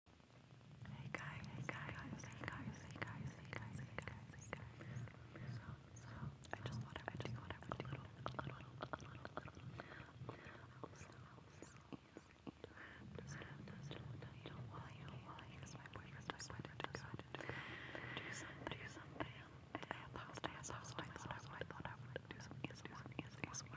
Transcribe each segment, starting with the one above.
Hey guys, hey guys, hey guys, hey guys, hey guys, hey guys, hey guys. So, so, I just thought I would do what I would do. A little, a little, a little, a little. You know why, you know why, because my boyfriend decided to go do something, do something. I had lost, I had lost, I thought I would do something, do something, do something.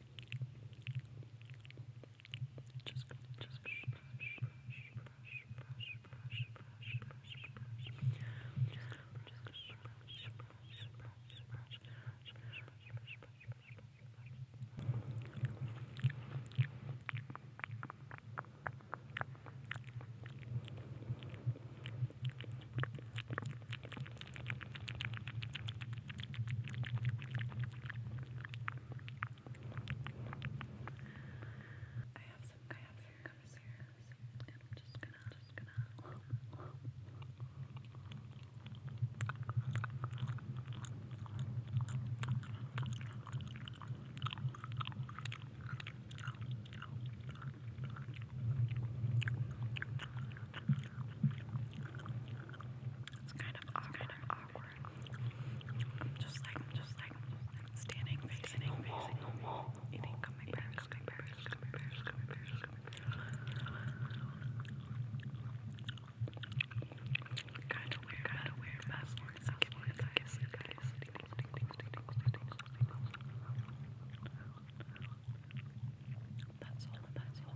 Just just brush, brush, brush, brush, brush, brush, brush, brush, brush. Just just brush, brush, brush, brush, brush, brush, brush, brush, brush. I have some I have some covers here, and I'm just gonna just gonna it's kind of awkward. I'm just like, standing, facing, the wall, the wall, eating gummy bears, gummy bears, gummy bears, gummy bears, gummy Kind of weird, kind of weird. That's more I can guess. I That's all. That's all.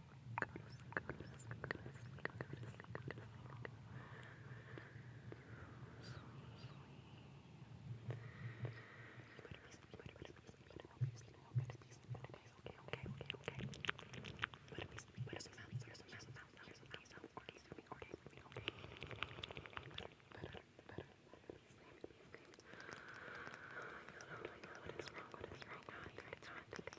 What is wrong? What is wrong?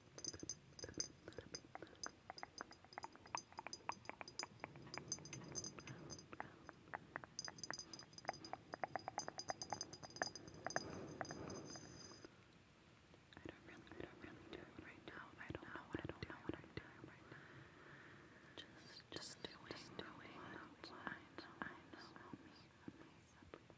I don't really, I don't really do it right now. I don't know. I don't know what I'm doing right now. Just, just doing, just doing. What I know, I know. Help me, help me, help me.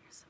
Here's some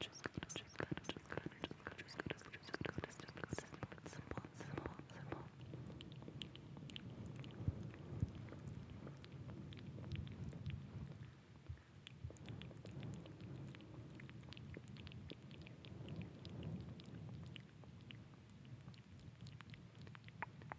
Just gonna, just gonna, just gonna, just gonna, just gonna, just gonna, just gonna, just gonna, simple, simple, simple. Just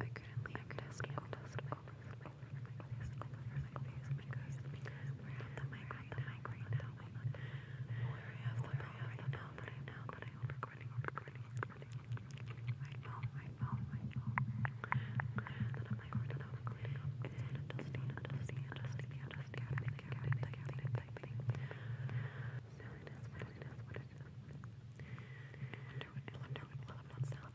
I couldn't leave. I could have all dust over my face, over my face, because we're at the mic right now, right now, where I have the bell right now, that I know that I am recording, recording, recording. My phone, my phone, my phone. That I'm recording, I'm recording. It's on a dusty, a dusty, a dusty, a dusty, a dusty, a dusty, a dusty, a dusty. Silliness, what it is, what it is. I wonder what, I wonder what, what, what sound.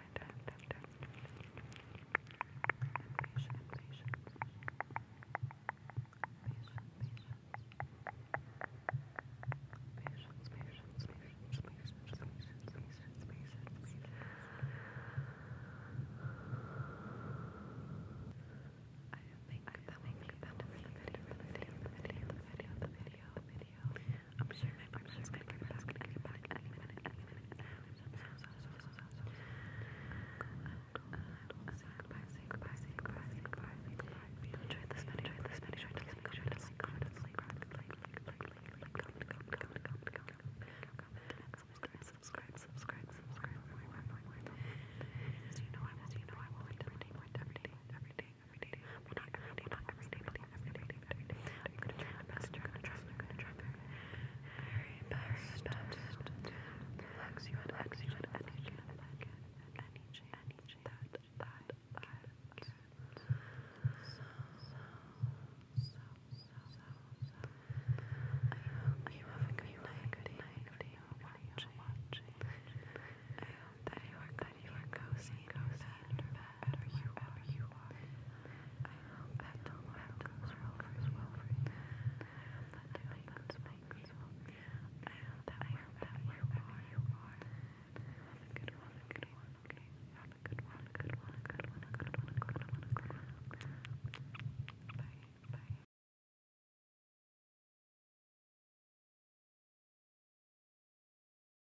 I think that will be the end of the video, the video, the video, the video, the video. I'm sure my partner's gonna come back and get back any minute, any minute now. So, so, so, so, so, so. Goodbye, say goodbye, say goodbye, say goodbye, say goodbye. Enjoy this minute, enjoy this minute, enjoy this minute, enjoy this minute, enjoy this minute, subscribe, subscribe, subscribe, subscribe, more, more, more, more. As you know, I will, as you know, I will, every day, every day, every day every day. Well, not every day, not every day, every day, every day. I'm gonna try my best, I'm going try, I'm try my very best to relax you and relax you and energy and any change, any change I hope you have a good night, good night, good night, watching, watching. I hope that you are, that you are cozy, cozy, and relaxed wherever you are. You are. I hope that tomorrow goes well for you. I hope that today goes well for you. I hope that wherever you are, have a good one, a good one, okay? Have a a good one, a good one, a good one, a good one, a good one. Bye, bye.